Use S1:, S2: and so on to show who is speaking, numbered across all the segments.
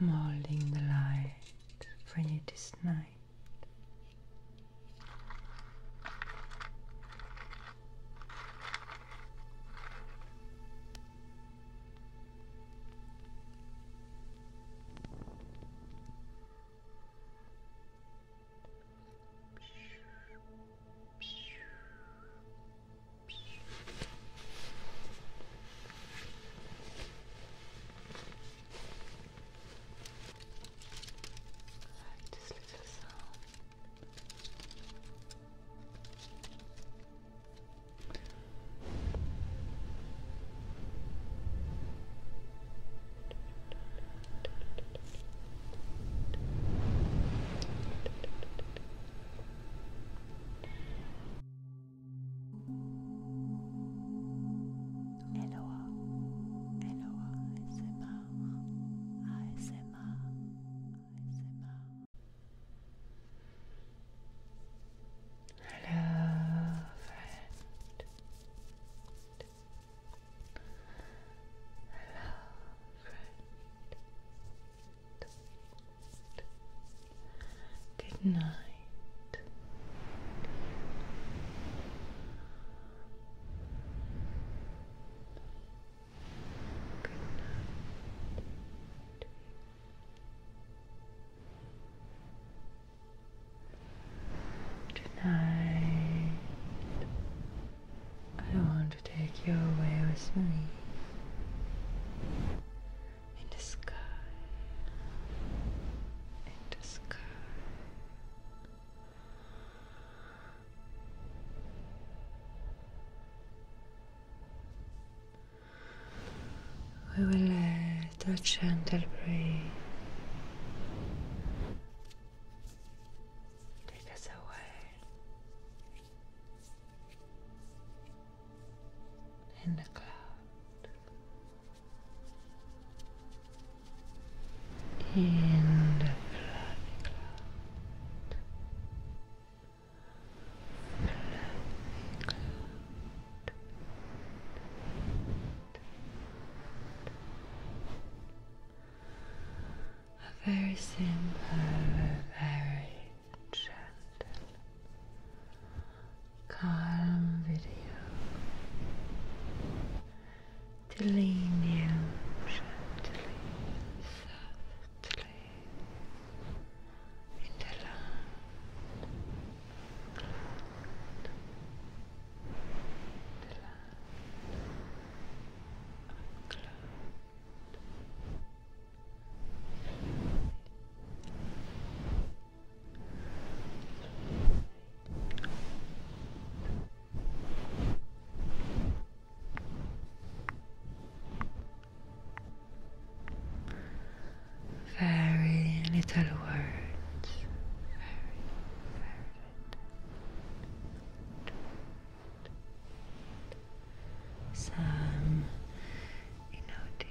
S1: I'm holding the light for you this night like this little sound. Eloa, Eloa ASMR, ASMR, ASMR. Hello, friend. Good night. Good night. Tonight, I want to take you away with me in the sky, in the sky. We will let a gentle breeze take us away in the cloud, in the fluffy cloud, fluffy cloud. A very simple, very gentle, calm video to lean gently, softly into the land, into land, cloud, cloud, very little words. Some you know, deeper.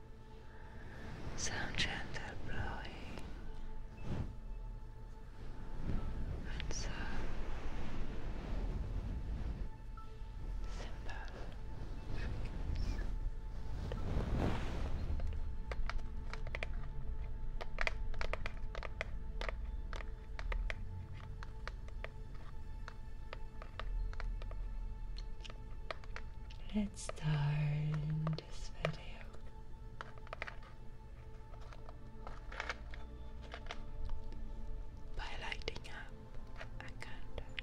S1: some gentle blowing and some simple fingers let's start this video. By lighting up a candle.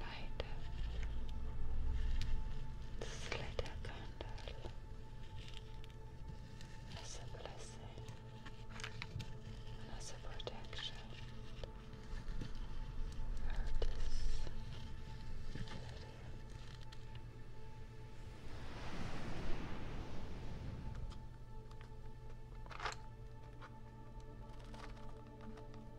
S1: light up candle as a blessing as a protection. Of this video.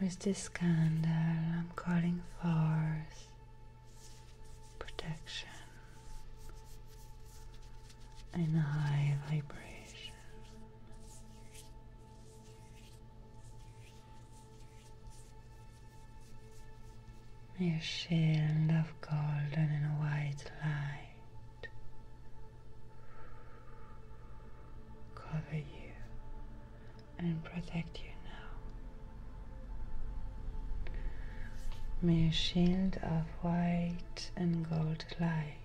S1: With this scandal I'm calling for protection and high vibration? a shield of golden and white light cover you and protect you now. May a shield of white and gold light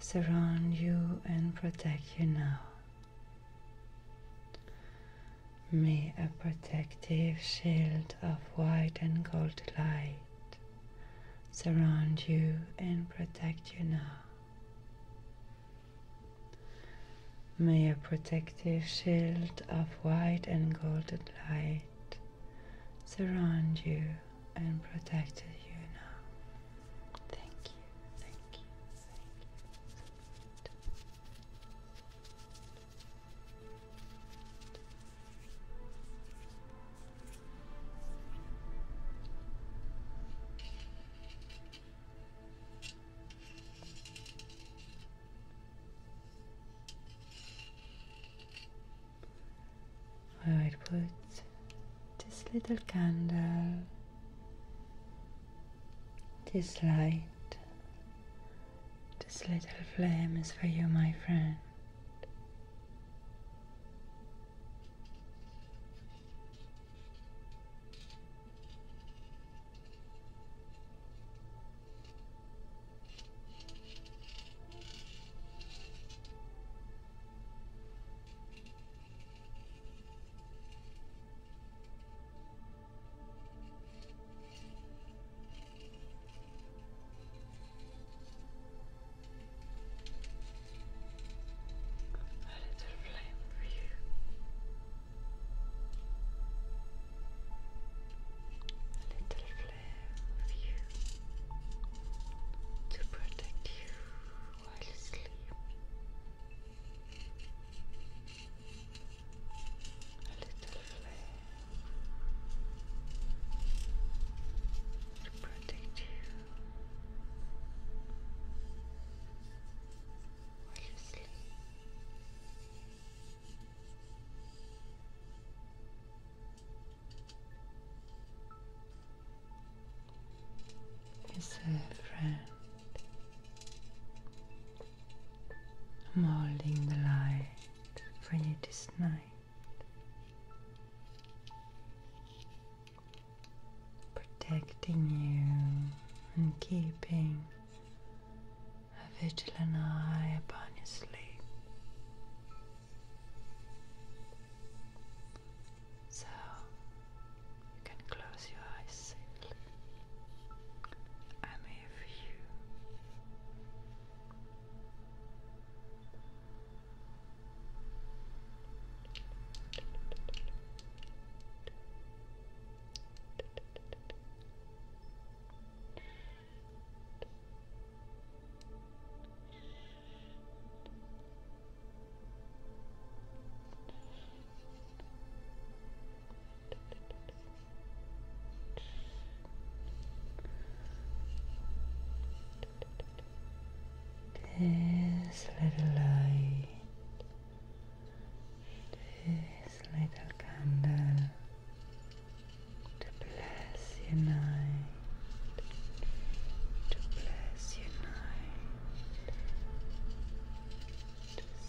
S1: surround you and protect you now. May a protective shield of white and gold light surround you and protect you now. May a protective shield of white and golden light surround you and protect you now. Thank you, thank you, thank you. I will put this little candle this light, this little flame is for you, my friend. A little flame for you. A little flame for you to protect you while you sleep a little flame to you while you sleep is a friend. i holding the light for you tonight, Protecting you and keeping a vigilant eye upon your sleep. So you can close your eyes I'm here for you. This little light, this little candle to bless your night, to bless your night,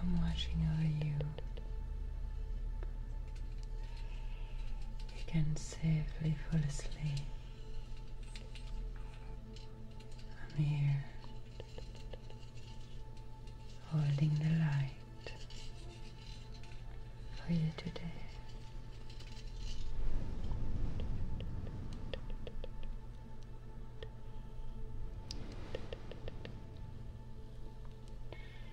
S1: I'm watching over you. You can safely fall asleep. I'm here, holding the light for you today.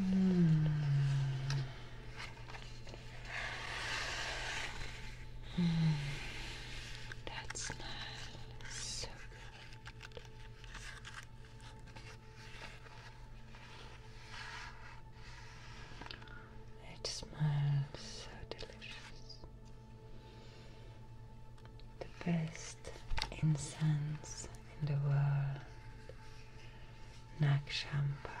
S1: Mm. That smells so good. It smells so delicious the best incense in the world, Nakshampa.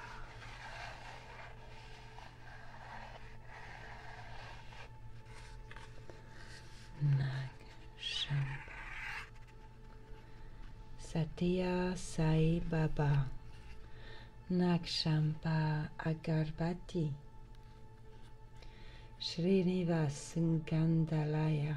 S1: Nag Shampa. Satya Sai Baba. Nakshampa Agarbati. Srinivas Gandalaya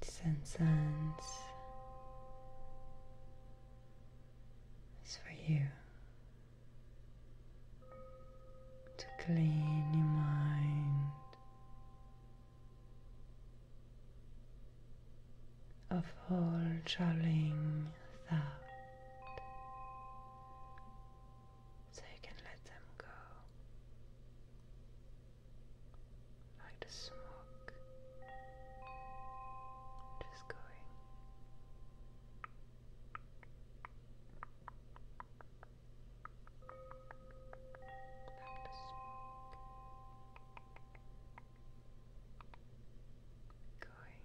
S1: Sense It's for you to clean your mind of all troubling thought so you can let them go like the smoke just going like the smoke going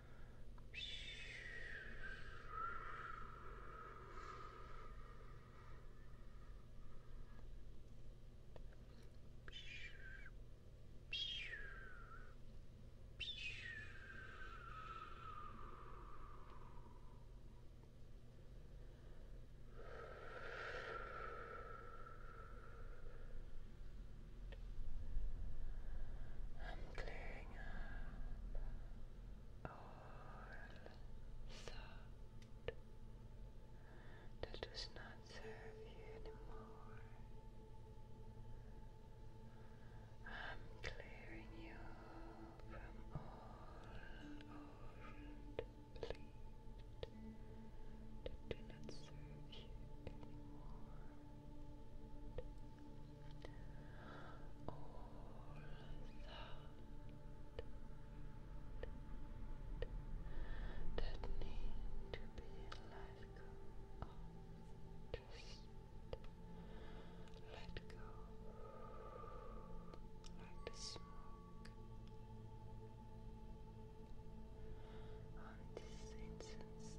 S1: I'm clearing all thought that does not serve you anymore. I'm clearing you from all old beliefs that do not serve you anymore that need to be let go Just let go like smoke on this incense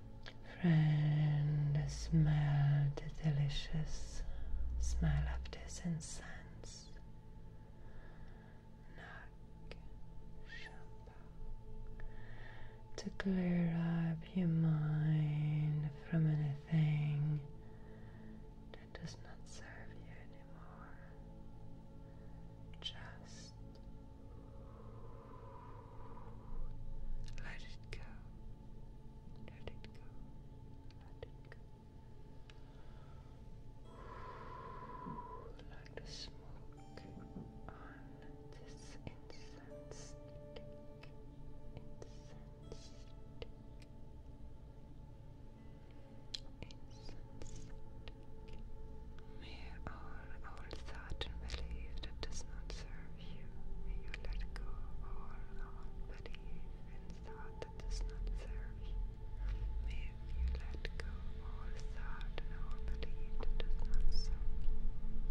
S1: Friend, smell the delicious smell of this incense. to clear up your mind from anything that does not serve you anymore. Just let it go. Let it go. Let it go. Like the smoke on this incense Incense Incense stick. May all thought and belief that does not you you let go of all belief and thought that does not serve you. May you let go of all thought and all belief that does not serve you.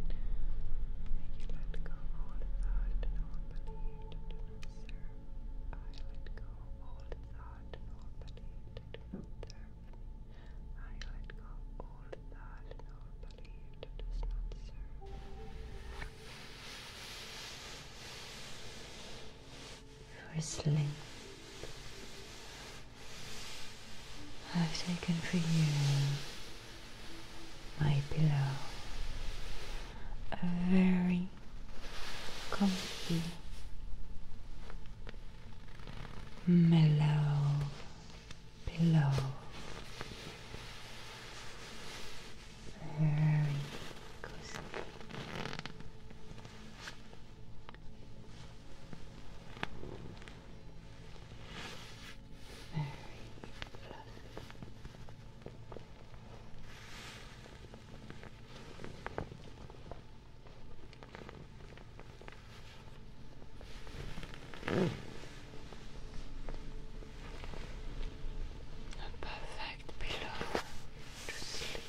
S1: May you let go of all thought and all belief that do not serve. I let go of all thought and all belief that do not serve. I let go of all thought and all belief that does not serve. Whistling I've taken for you my pillow, a very comfy, mellow below. Very cozy. Very fluffy. A perfect pillow to sleep.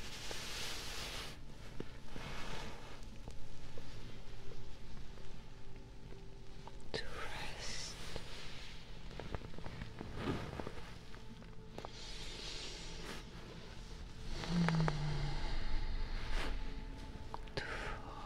S1: To rest. To fall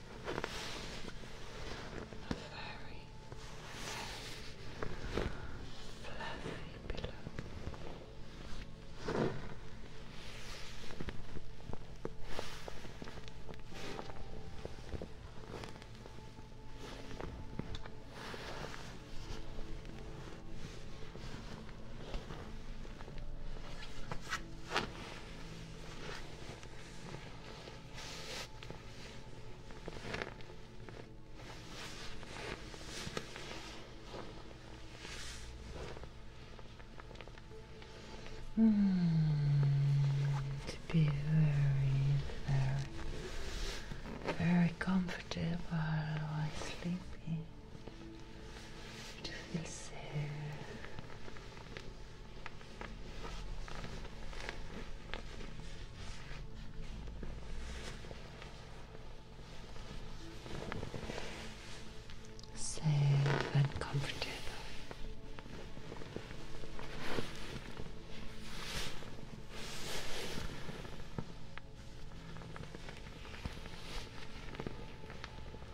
S1: a very, very fluffy pillow. Now Hmm, to be very, very, very comfortable while sleeping, to feel safe, Safe and comfortable.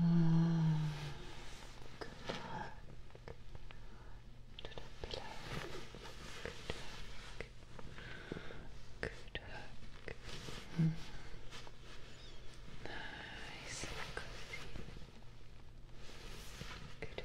S1: Mm, good work. To the Good work. Good work. Nice and cozy. Good work.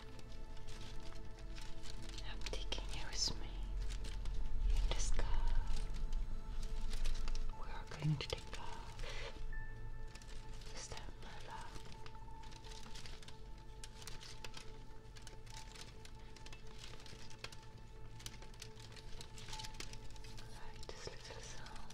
S1: I'm taking you with me in the sky. We are going to take off. Is love? Like this little sound.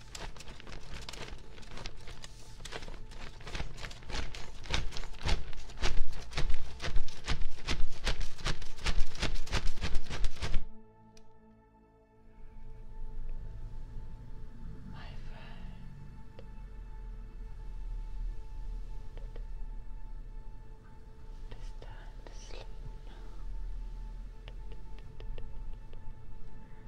S1: My friend, it is time to sleep now.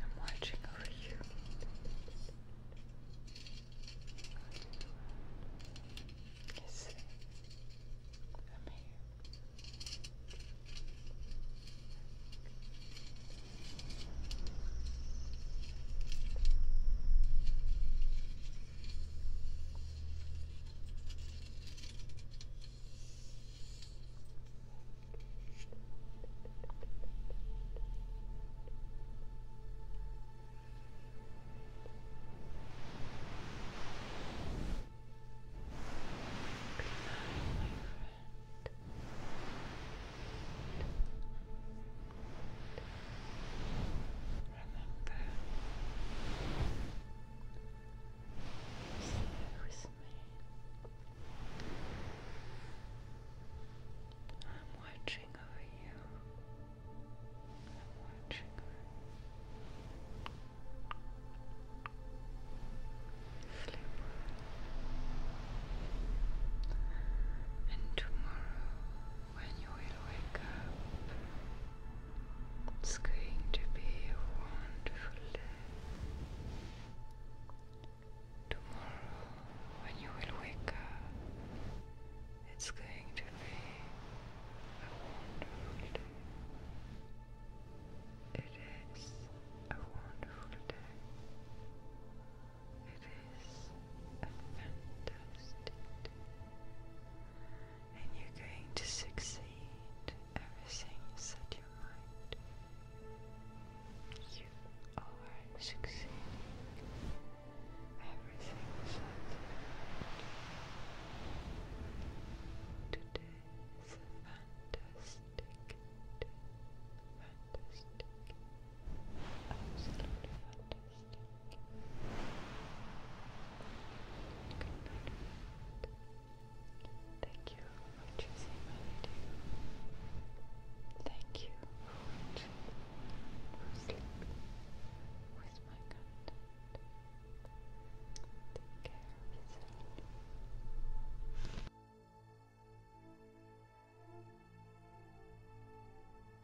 S1: I'm watching over you. Listen, I'm here. Good night, my friend remember. Stay with me. I'm watching over you. I'm watching over you. Sleep And tomorrow when you will wake up. It's going to be a wonderful day. Tomorrow, when you will wake up, it's going to be a wonderful day. It is a wonderful day. It fantastic. And you're going to succeed everything you set your mind. You are succeeding everything you set your mind. Today is fantastic Fantastic. Absolutely fantastic. Thank you for choosing my video. Thank you for watching, for sleeping with my content. Take care of yourself.